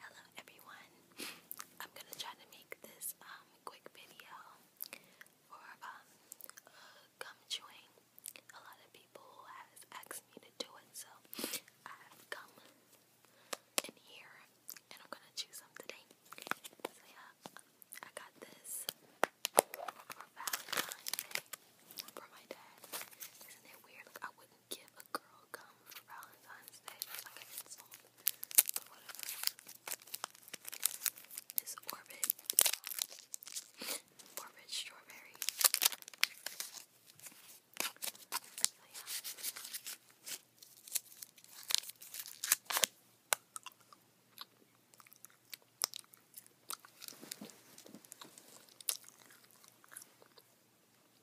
Hello everyone. I'm gonna try to make this um, quick video for um, gum chewing. A lot of people has asked me to do it, so I have gum in here, and I'm gonna chew some today. So yeah, I got this for Valentine's Day for my dad. Isn't it weird? give a girl gum for Valentine's Day. That's like an insult, but whatever. Is Orbit, um, Orbit Strawberry. So yeah.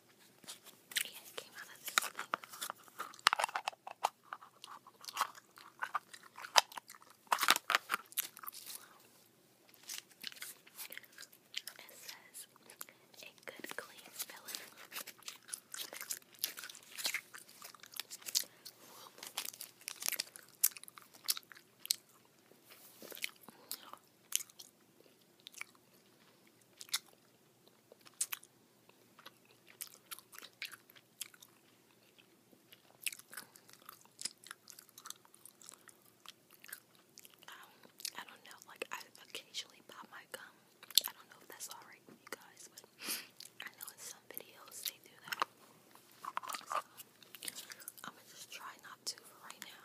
Yeah, it says a good clean filling. Um, I don't know, like I occasionally pop my gum. I don't know if that's alright with you guys, but I know in some videos they do that. So I'ma just try not to right now.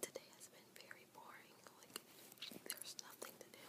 Today has been very boring. Like there's nothing to do.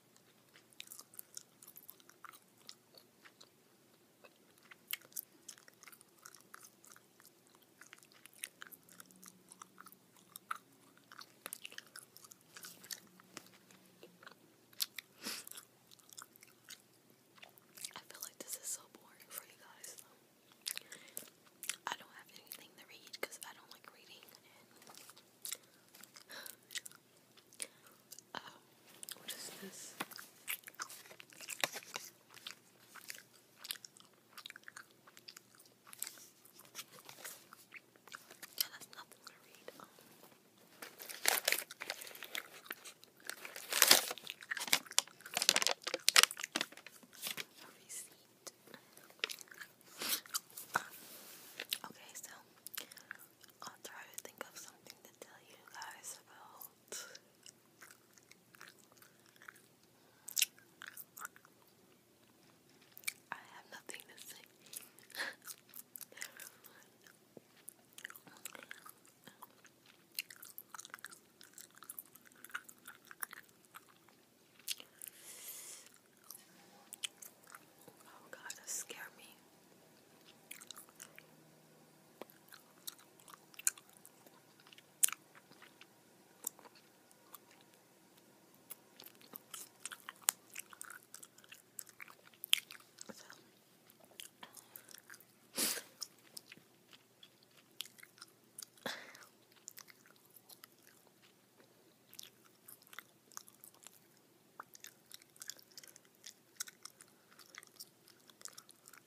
I feel like this is so boring for you guys. I don't have anything to read because I don't like reading Oh, what is this? Yeah, that's nothing to read. receipt. Okay, so I'll try to think of something to tell you guys about. I have nothing to say. Oh God, that scared me.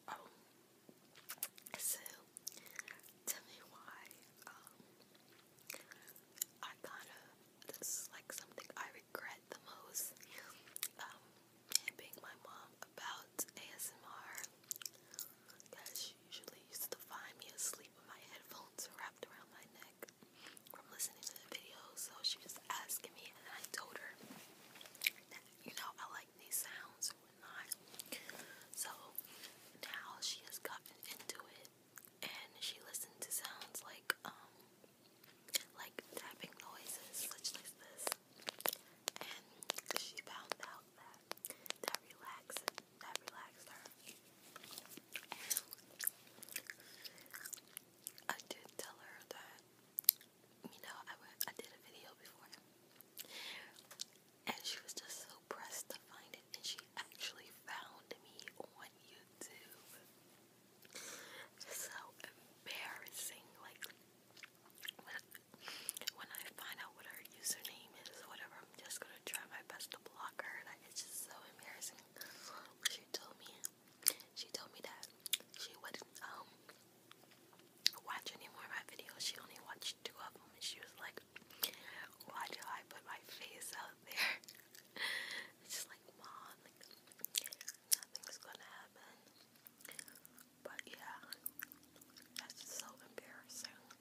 Oh, so tell me why um, I thought of this like something I regret the most um, being my mom about ASMR. She usually used to find me asleep with my headphones wrapped around my neck from listening to the videos. So she was asking me, and I told her you know, I like these sounds and whatnot. So now she has gotten into it, and she listens to sounds like, um, like tapping noises, such like this. And she found out that that relaxes that relaxed her. And I did tell her that, you know, I, went, I did a video before. And she was just so pressed to find it. And she actually found me on YouTube. Just so embarrassing. Like, when, when I find out what her username is, whatever I'm just gonna try my best to block her. Like, it's just so embarrassing. She told me, she told me that she wouldn't um watch any of my videos. She only watched two of them, and she was like, "Why do I put my face out there?" it's like, mom, like, nothing's gonna happen. But yeah, that's so embarrassing.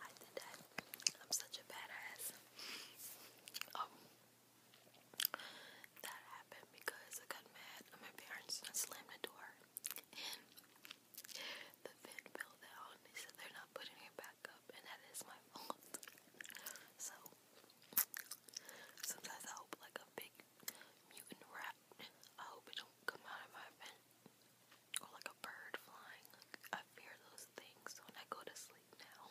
I did that. I'm such a badass. Um, that happened because I got mad at my parents and slammed the door. And the vent fell down. They said they're not putting it back up, and that is my fault. So sometimes I hope like a big mutant rat I hope it don't come out of my vent. Or like a bird flying. I fear those things when I go to sleep now.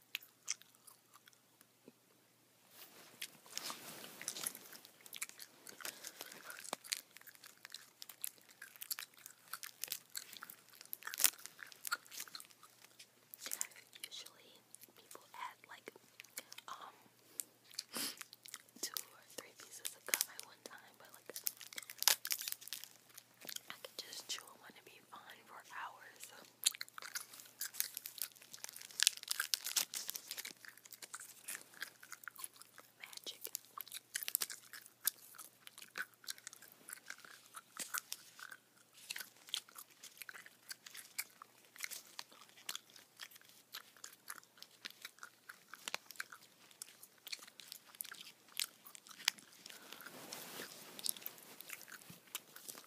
Usually people add like um two or three pieces of gum at one time, but like I could just chew one and be fine for hours. Magic.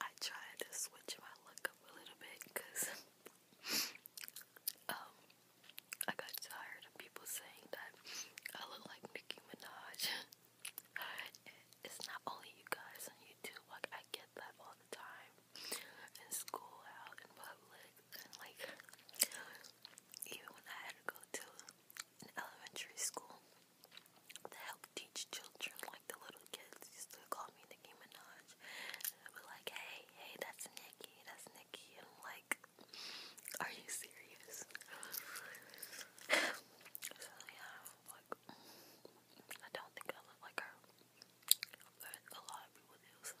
I tried to switch my look up a little bit because um I got tired of people saying that I look like Nicki Minaj. it's not only you guys on YouTube, like I get that all the time in school, out in public, like even when I had to go to an elementary school to help teach children, like the little kids used to call me Nicki Minaj. And they were like, hey, hey, that's Nicki, that's Nicki. And I'm like, are you serious? so yeah, like, I don't think I look like her. a lot of people do, so.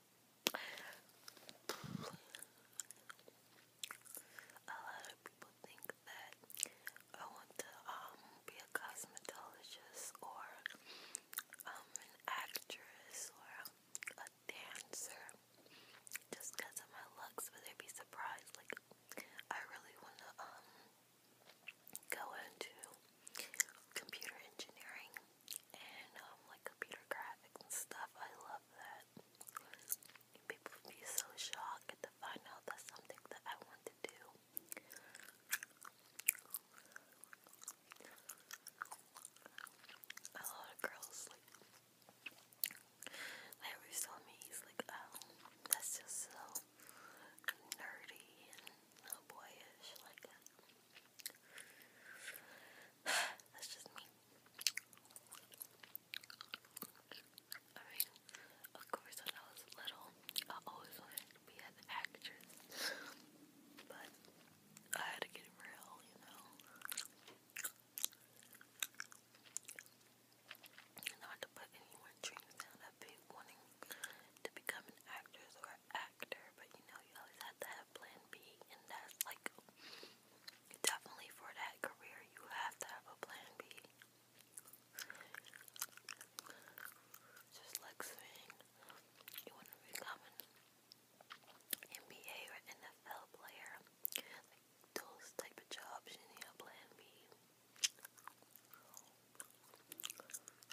A lot of people think that I want to um, be a cosmetologist or um, an actress or a dancer just because of my looks, but they'd be surprised. Like I really want to um, go into computer engineering and um, like computer graphics stuff. I love that. people be so shocked to find out that's something that I want to do. A lot of girls like they always me he's like, oh, that's just so nerdy and uh, boyish, like. That. That's just me. of course, when I was little, I always wanted to be an actress, but I had to get real, you know. Not to put any more dreams down. i wanting to become an actress or actor, but you know, you always have to have plan B, and that's like definitely for that career, you have to have a plan B. Just like saying you want to become an NBA or NFL player, like those type of jobs, you need a plan B.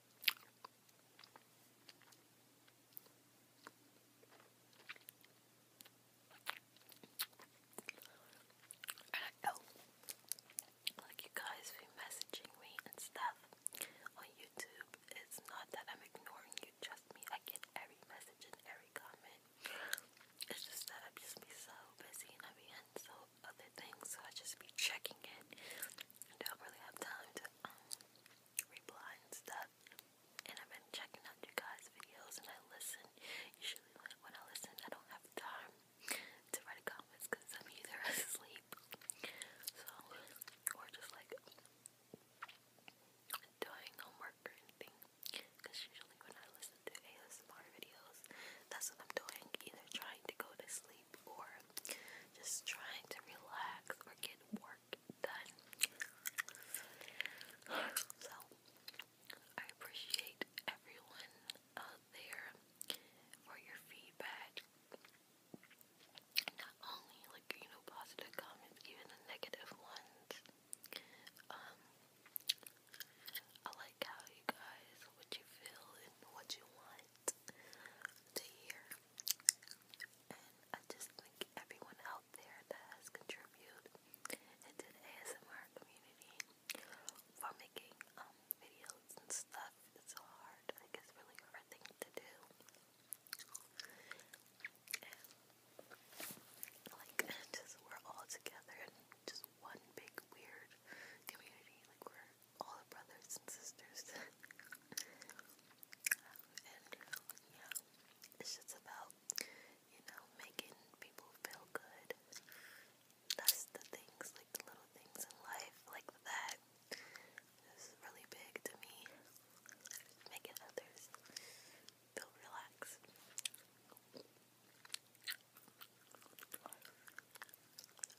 And like you guys be messaging me and stuff on YouTube. It's not that I'm ignoring you, trust me. I get every message and every comment. It's just that I just be so busy and I be in so other things, I just be checking it. I don't really have time to um, reply and stuff. And I've been checking out you guys' videos and I listen. Usually when I listen, I don't have time to write comments because I'm either asleep, so or just like doing homework or anything. Because usually when I listen to ASMR videos, that's what I'm doing, either trying to go to sleep or just trying to relax or get work done. So, I appreciate everyone out there for your feedback. Not only like you know positive comments, even the negative ones. Um, I like how you guys what you feel and what you want to hear. And I just think everyone out there that has contributed into the ASMR community for making um, videos and stuff. It's hard. Like it's really hard thing to do. like just we're all together in just one big weird community. Like we're all the brothers and sisters. and yeah, it's just about, you know, making people feel good. That's the things, like the little things in life, like that. really big to me. Making others feel relaxed.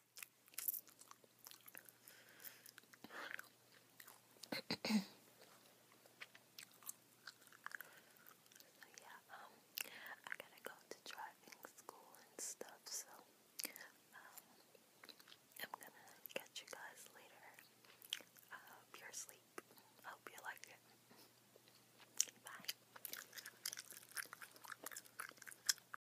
so yeah, um, I gotta go to driving school and stuff, so um, I'm gonna catch you guys later. hope uh, you're asleep. hope you like it. Bye.